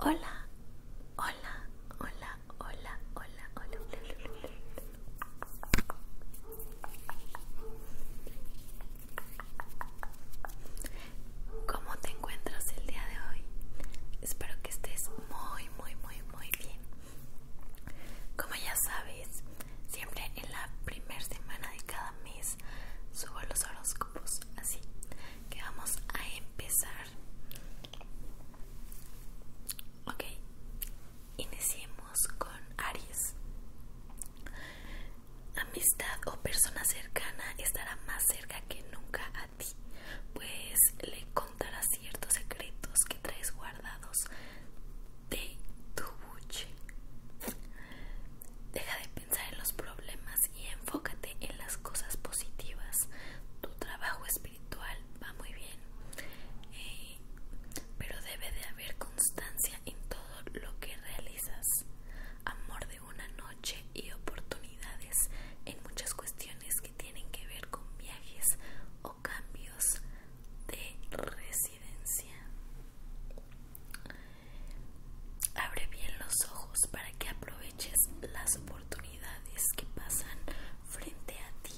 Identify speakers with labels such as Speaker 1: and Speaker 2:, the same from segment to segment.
Speaker 1: Hola, hola, hola, hola, hola, hola. ¿Cómo te encuentras el día de hoy? Espero que estés muy, muy, muy, muy bien.
Speaker 2: Como ya sabes,
Speaker 1: siempre en la primera semana de cada subo los horóscopos así que vamos a empezar ok iniciemos con aries amistad o persona cercana estará más cerca que nunca a ti pues le contará ciertos secretos que traes guardados de tu Deja de pensar en los problemas y enfócate en las cosas positivas. Tu trabajo espiritual va muy bien, eh, pero debe de haber constancia en todo lo que realizas. Amor de una noche y oportunidades en muchas cuestiones que tienen que ver con viajes o cambios de residencia. Abre bien los ojos para que aproveches las oportunidades que pasan frente a ti.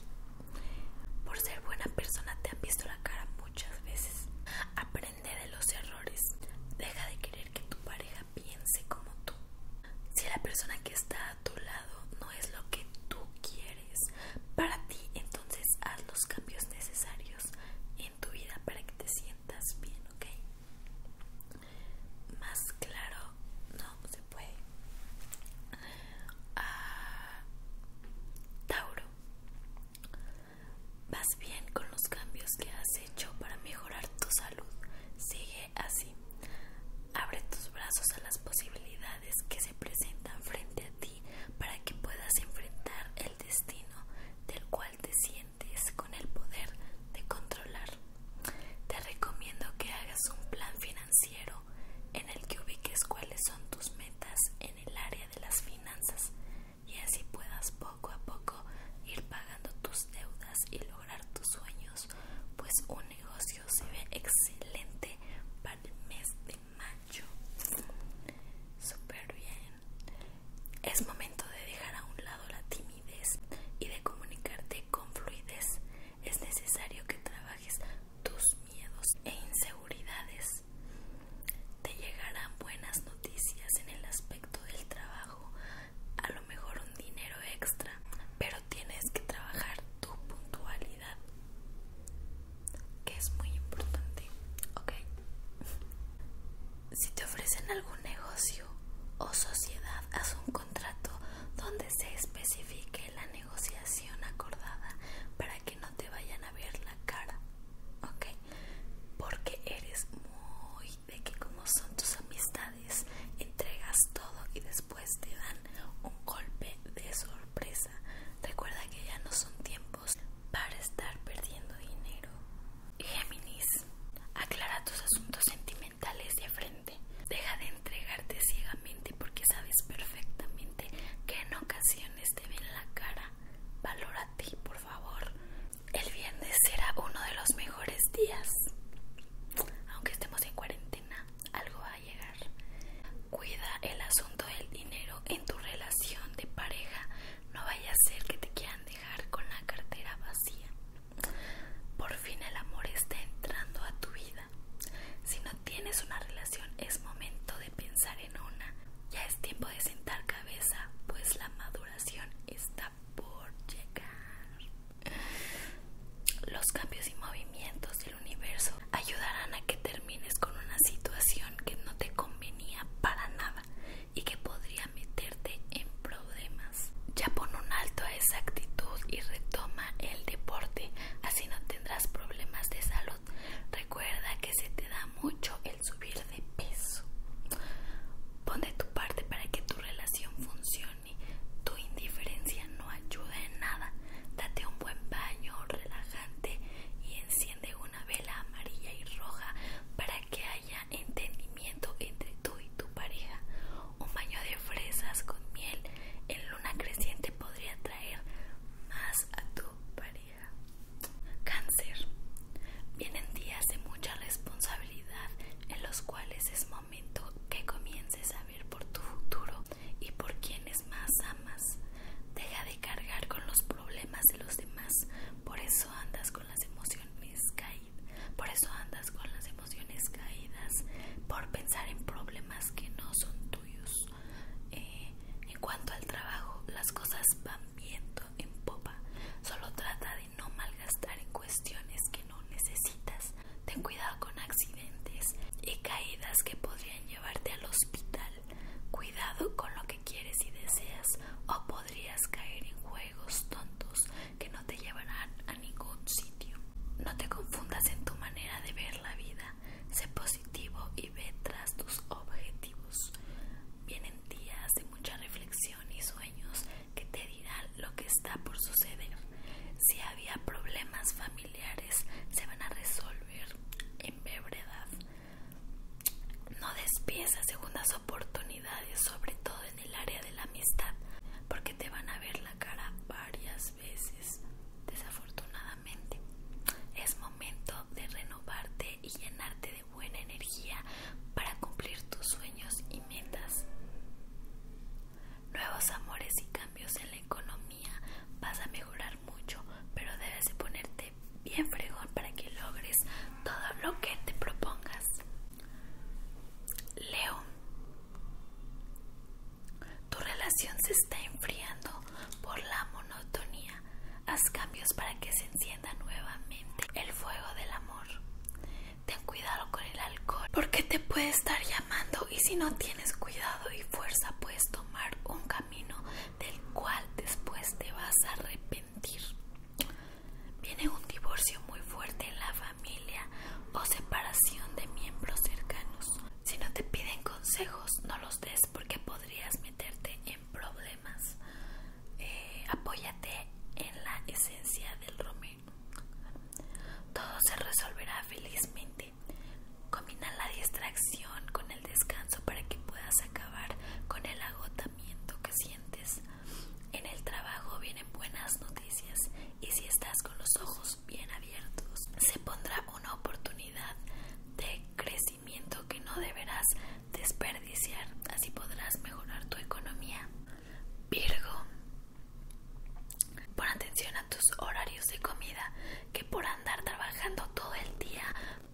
Speaker 1: Por ser buena persona te han visto la cara muchas veces. Aprende de los errores. Deja de querer que tu pareja piense como tú. Si la persona que está a tu lado no es lo que tú quieres para ti, entonces haz los cambios necesarios en tu vida para que te sientas bien, ¿ok? Más claro no se puede. Ah, Tauro, vas bien con los cambios que has hecho para mejorar tu salud. Sigue así. Abre tus brazos a las posibilidades que se presentan frente a ti para que puedas enfrentar el destino del cual te sientes con el poder de controlar. Te recomiendo que hagas un plan financiero en el que ubiques cuáles son tus metas en el área de las finanzas y así puedas poco a poco ir pagando tus deudas y lograr tus sueños, pues un negocio se ve excelente para el mes de mayo. super bien. Es momento de dejar a un lado la timidez y de comunicarte con fluidez. Es necesario que trabajes tus miedos e inseguridades. Te llegarán buenas noticias en el aspecto del trabajo, a lo mejor un dinero extra, pero tienes que trabajar tu puntualidad que es muy importante, ¿ok? Si te ofrecen algún negocio o sociedad, haz un contrato donde se especifique la negociación acordada para que no te vayan a ver la cara, ¿ok? Porque eres muy de que como son tus amistades, entregas todo y después te dan un golpe de sorpresa Recuerda que ya no son tiempos para estar perdiendo dinero. Géminis, aclara tus asuntos sentimentales de frente. Deja de entregarte ciegamente porque sabes perfectamente que en ocasiones te ven la cara. ti, por favor. El viernes será uno de los mejores días. Aunque estemos en cuarentena, algo va a llegar. Cuida el asunto del dinero en tu relación de pareja no vaya a ser que te quieran dejar con la cartera vacía. Por fin el amor está entrando a tu vida. Si no tienes una relación es momento de pensar en una. Ya es tiempo de sentar cabeza, pues la maduración está por llegar. Los cambios y movimientos del universo ayudarán a que termines con una situación que no te convenía para nada y que podría meterte en problemas. Ya pon un alto a esa actitud y retoma el deporte, así no tendrás problemas de salud. Recuerda que se te da mucho el subir de peso. Pon de tu parte para que tu relación funcione. Tu indiferencia no ayuda en nada. Date un buen baño relajante y enciende una la amarilla y roja para que haya entendimiento entre tú y tu pareja. Un baño de fresas con miel en luna creciente podría traer más a tu pareja. Cáncer. Vienen días de mucha responsabilidad en los cuales es momento que comiences a ver por tu futuro y por quienes más amas. Deja de cargar con los problemas de los demás. Por eso andas con las emociones caídas. Por eso andas con las emociones caídas. Por pensar en problemas que no son tuyos. Eh, en cuanto al trabajo, las cosas van viendo en popa. Solo trata de no malgastar en cuestiones que no necesitas. Ten cuidado con accidentes y caídas que podrían llevarte al hospital. Cuidado con lo que quieres y deseas o podrías caer en juegos tontos que no te llevarán a ningún sitio. No te confundas en tu manera de ver la vida. Sé positivo y ve tras tus objetivos. Vienen días de mucha reflexión y sueños que te dirán lo que está por suceder. Si había problemas familiares, se van a resolver en brevedad. No despiesas segundas oportunidades, sobre todo en el área de la amistad, porque te van a ver la cara varias veces. Desafortunadamente, es momento de renovarte y llenarte de buena energía para cumplir tus sueños y metas. Nuevos amores y cambios en la economía vas a mejorar mucho, pero debes de ponerte bien fregón para que logres todo lo que te propongas. Leo, tu relación se está enfriando por la monotonía. Haz cambios para que se encienda nuevamente el fuego del amor. Ten cuidado con el alcohol porque te puede estar llamando y si no tienes cuidado y fuerza puedes tomar un camino del cual después te vas a arrepentir. Viene un divorcio muy fuerte en la familia o separación de miembros cercanos. Si no te piden consejos, no los des porque podrías meterte en problemas. Eh, apóyate en la esencia del romero. Todo se resolverá felizmente Combina la distracción con el descanso para que puedas acabar con el agotamiento que sientes. En el trabajo vienen buenas noticias y si estás con los ojos bien abiertos, se pondrá una oportunidad de crecimiento que no deberás desperdiciar. Así podrás mejorar tu economía. Virgo, pon atención a tus horarios de comida, que por andar trabajando todo el día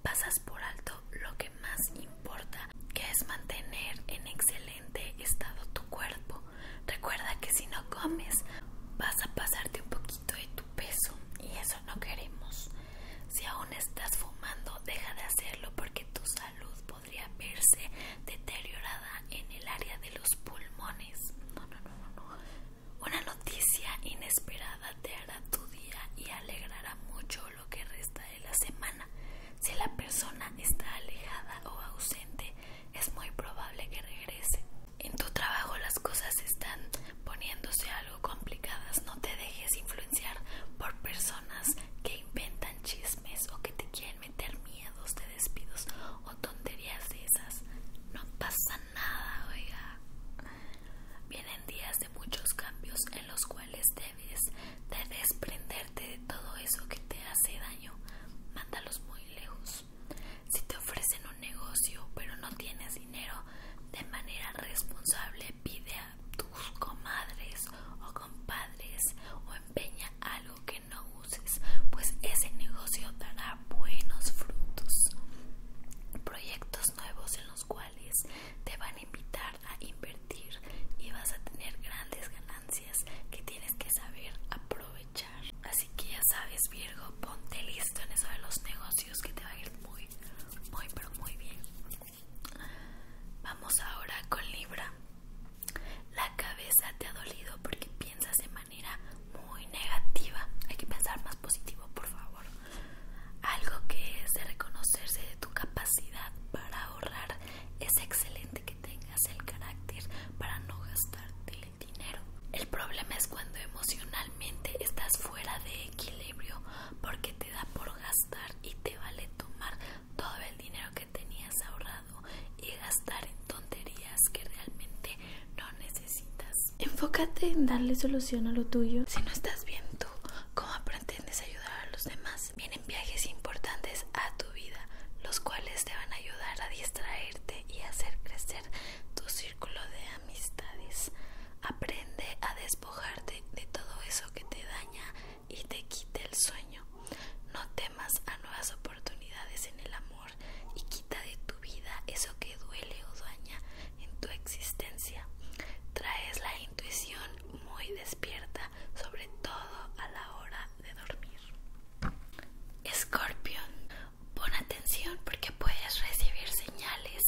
Speaker 1: pasas por alto lo que más importa, que es mantener en excelente estado tu cuerpo. Recuerda que si no comes, vas a pasarte un poquito de tu peso y eso no queremos. Si aún estás fumando, deja de hacerlo porque tu salud podría verse deteriorada en el área de los pulmones. No, no, no, no, una noticia inesperada te hará tu día y alegrará mucho lo que resta de la semana. Si la persona está alejada o ausente, es muy probable que regrese. En tu trabajo las cosas están poniéndose algo complicadas. No te dejes influenciar por personas que inventan chismes o que te quieren meter miedos de despidos o tonterías de esas. No pasa nada, oiga. Vienen días de muchos cambios en los cuales debes desprenderte de todo eso que te hace daño. Mándalos muy lejos. Si te ofrecen un negocio pero no tienes dinero, de manera responsable pide a tus comadres o compadres o empeña algo que no uses, pues ese negocio dará buenos frutos. Proyectos nuevos en los cuales te van a invitar a invertir y vas a tener grandes ganancias que tienes que saber aprovechar. Así que ya sabes Virgo, ponte listo en eso de los negocios que te va a ir muy, muy, pero muy bien. Vamos ahora con Libra. La cabeza te ha dolido porque piensas de manera muy negativa. Hay que pensar más positivo, por favor. Algo que es de reconocerse de tu capacidad para ahorrar. Es excelente que tengas el carácter para no gastarte el dinero. El problema es cuando emocionalmente estás fuera de equilibrio porque te da por gastar y te vale tomar todo el dinero que tenías ahorrado y gastar en tonterías que realmente no necesitas. Enfócate en darle solución a lo tuyo. Si no estás bien tú, ¿cómo pretendes ayudar a los demás? Vienen viajes importantes a tu vida, los cuales te van a ayudar a distraerte y hacer crecer tu círculo de amistades. Aprende a despojarte de todo eso que te daña y te quite el sueño. No temas a nuevas oportunidades en el amor y quita de tu vida eso que duele o daña en tu existencia. Traes la intuición muy despierta, sobre todo a la hora de dormir. Scorpion pon atención porque puedes recibir señales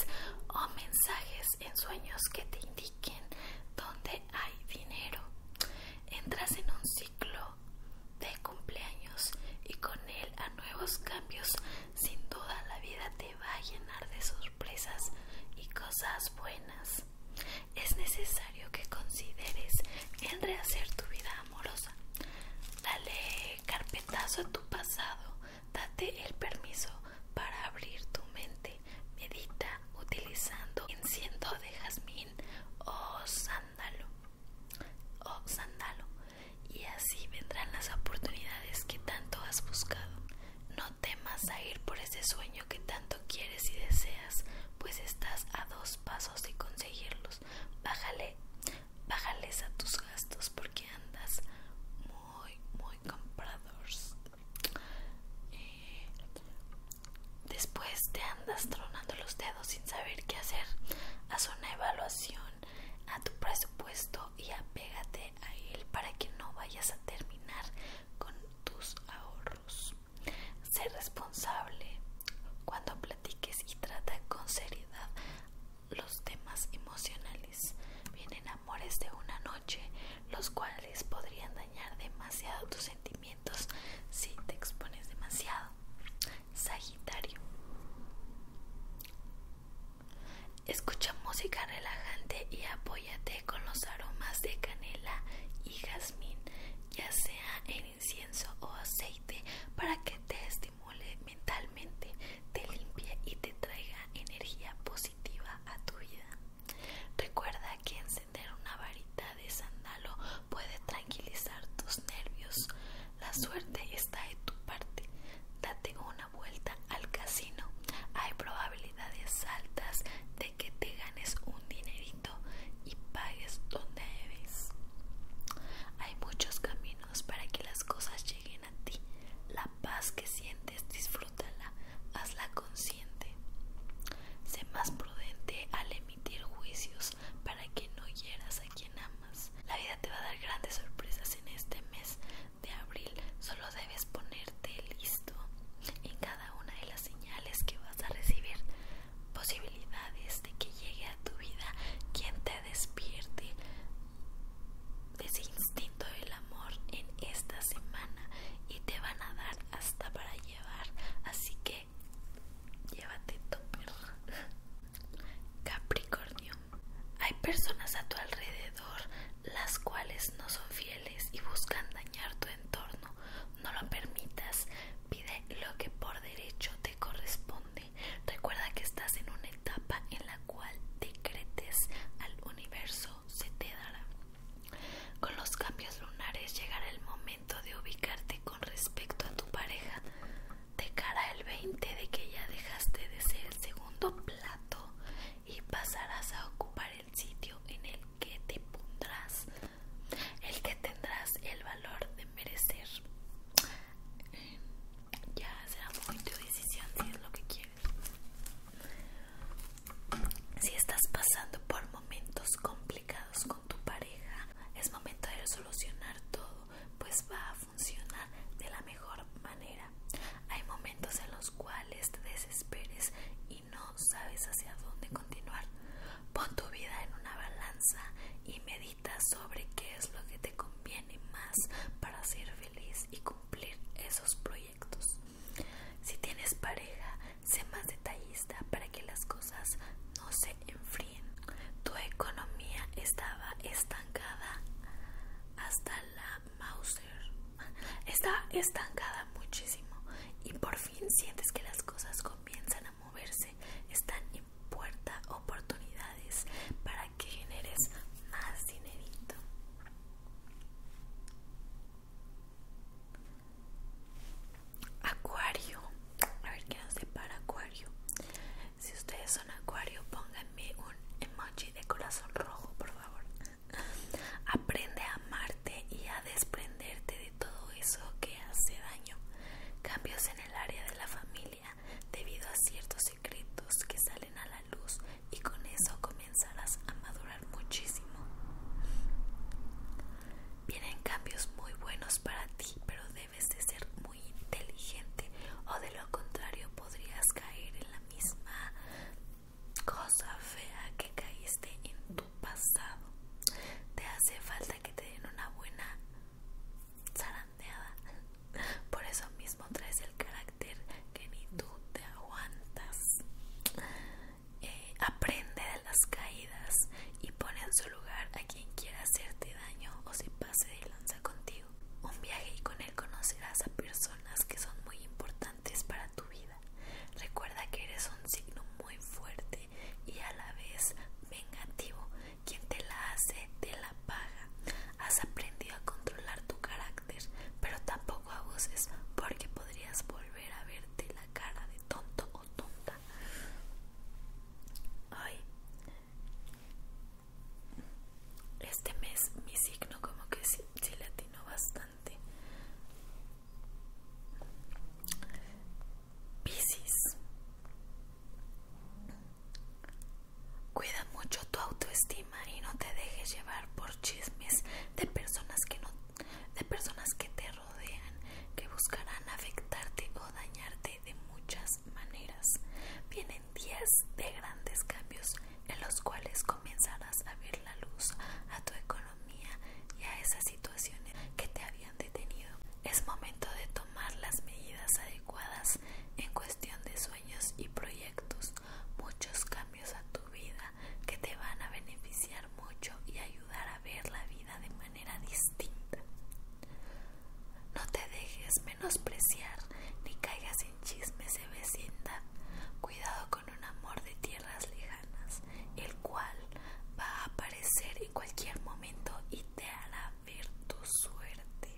Speaker 1: o mensajes en sueños que te indiquen dónde hay dinero. Entras en un ciclo de cumpleaños y con él a nuevos cambios sin duda la vida te va a llenar de sorpresas y cosas buenas. Es necesario que consideres el rehacer tu vida amorosa. Dale carpetazo a tu pasado. Date el permiso para abrir tu mente. Medita utilizando enciendo de jazmín o sándalo. O sándalo y así vendrán las oportunidades que tanto has buscado. No temas a ir por ese sueño que tanto quieres y deseas, pues estás a dos pasos de conseguirlos. Bájale, bájales a tus gastos porque andas muy, muy comprador eh, después te andas tronando los dedos sin saber qué hacer. Haz una evaluación a tu presupuesto y apégate a él para que no vayas a terminar con tus ahorros. Sé responsable cuando platiques y trata con seriedad los temas emocionales. Vienen amores de una noche, los cuales podrían dañar demasiado tus sentimientos si te expones demasiado. Sagitario. Escucha música relajante y apóyate con los aromas de canela y jazmín, ya sea en incienso o aceite, para que te estimule mentalmente, te limpie y te traiga energía positiva a tu vida. Recuerda que encender una varita de sandalo puede tranquilizar tus nervios, la suerte está de tu parte. Date una vuelta al casino. Hay probabilidades altas de que te ganes un dinerito y pagues donde debes. Hay muchos caminos para que las cosas lleguen a ti. La paz que sientes, disfrútala, hazla consciente. Sé más prudente al emitir juicios para que no hieras a quien amas. La vida te va a dar grandes sorpresas en este mes de abril. Solo debes ponerte listo en cada una de las señales que vas a recibir. Posibilidades de que llegue a tu vida quien te despierte de ese instinto del amor en esta semana y te van a dar hasta para llevar. Así que llévate tu perro. Capricornio, hay personas a tu alrededor las cuales no son fieles y buscan dañar tu entorno. No lo permitas. Pide lo que por derecho te corresponde. Recuerda que estás en una etapa en la cual decretes al universo se te dará. Con los cambios lunares llegará el momento de ubicarte con respecto a tu pareja de cara el 20 de que ya dejaste de ser el segundo plato y pasarás a ocupar el sitio en el que te pondrás, el que tendrás el valor de merecer. Ya será muy tu decisión si es lo que quieres. Si estás pasando por momentos complicados con tu pareja, es momento de solucionar todo, pues va a funciona de la mejor manera. Hay momentos en los cuales te desesperes y no sabes hacia dónde continuar. Pon tu vida en una balanza y medita sobre qué es lo que te conviene más para ser feliz y cumplir esos proyectos. Si tienes pareja, sé más detallista para que las cosas no se enfríen tu economía estaba estancada hasta la Mauser. Estaba estancada muchísimo y por fin sientes que las cosas comienzan a moverse. Están en puerta oportunidades para que generes más dinerito. Acuario, a ver qué nos para Acuario. Si ustedes son acuario, pónganme un emoji de corazón rojo, por favor. Aprende a amarte y a desprenderte de todo eso que hace daño. Cambios en el área de la familia debido a ciertos secretos que salen a la luz y con eso comenzarás a madurar muchísimo. Vienen cambios muy buenos para ti, pero debes de ser muy inteligente o de lo contrario podrías caer en la misma cosa fea que caíste en tu pasado. Te hace falta que te den una buena zarandeada. Por eso mismo traes el carácter que ni tú te aguantas. Eh, aprende de las caídas y pone en su lugar a quien quiera hacerte daño o si se lanza contigo. Un viaje y con él conocerás a personas que son muy importantes para tu vida. Recuerda que eres un signo muy fuerte y a la vez vengativo. Quien te la hace, te la paga. Has aprendido a controlar tu carácter, pero tampoco abuses porque podrías volver a verte la cara de tonto o tonta. Ay, este mes mi signo como que sí, latino bastante. Piscis. Cuida mucho tu autoestima y no te dejes llevar por chismes de personas que no de personas que te rodean, que buscarán afectarte o dañarte de muchas maneras. Vienen 10 de grandes cambios en los cuales comenzarás a ver la luz a tu economía y a esas situaciones que te habían detenido. Es momento de tomar las medidas adecuadas en cuestión de sueños y proyectos. Muchos cambios a tu vida que te van a beneficiar mucho y ayudar a ver la vida de manera distinta. No te dejes menospreciar ni caigas en chismes de vecindad. Cuidado con un amor de tierras lejanas, el cual va a aparecer en cualquier momento y te hará ver tu suerte.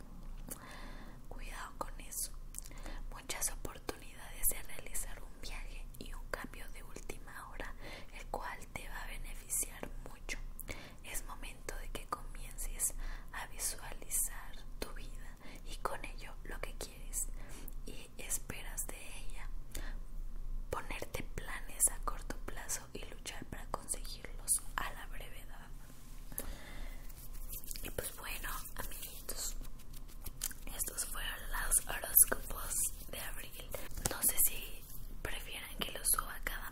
Speaker 1: Cuidado con eso. Muchas oportunidades de realizar un viaje y un cambio de última hora, el cual te va a beneficiar mucho. Es momento de que comiences a visualizar tu vida y con ello lo que quieres y esperas de ella. Ponerte planes a corto plazo y luchar para conseguirlos a la brevedad. Y pues bueno, amiguitos, estos fueron los horóscopos de abril. No sé si prefieran que los suba cada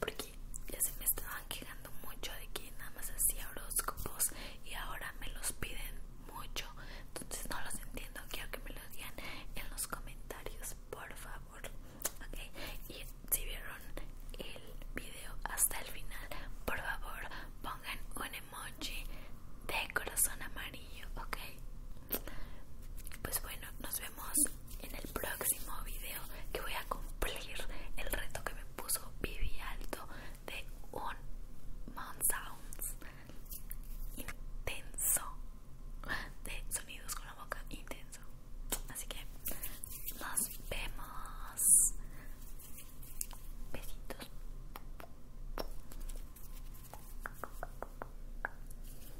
Speaker 1: porque ya se me estaban quejando mucho de que nada más hacía horóscopos y ahora me los piden mucho entonces no los entiendo quiero que me lo digan en los comentarios por favor okay. y si vieron el video hasta el final por favor pongan un emoji de corazón amarillo ok pues bueno, nos vemos en el próximo video que voy a cumplir el reto que me puso Vivi Alto de un Mount Sounds intenso de sonidos con la boca intenso. Así que nos vemos. Besitos.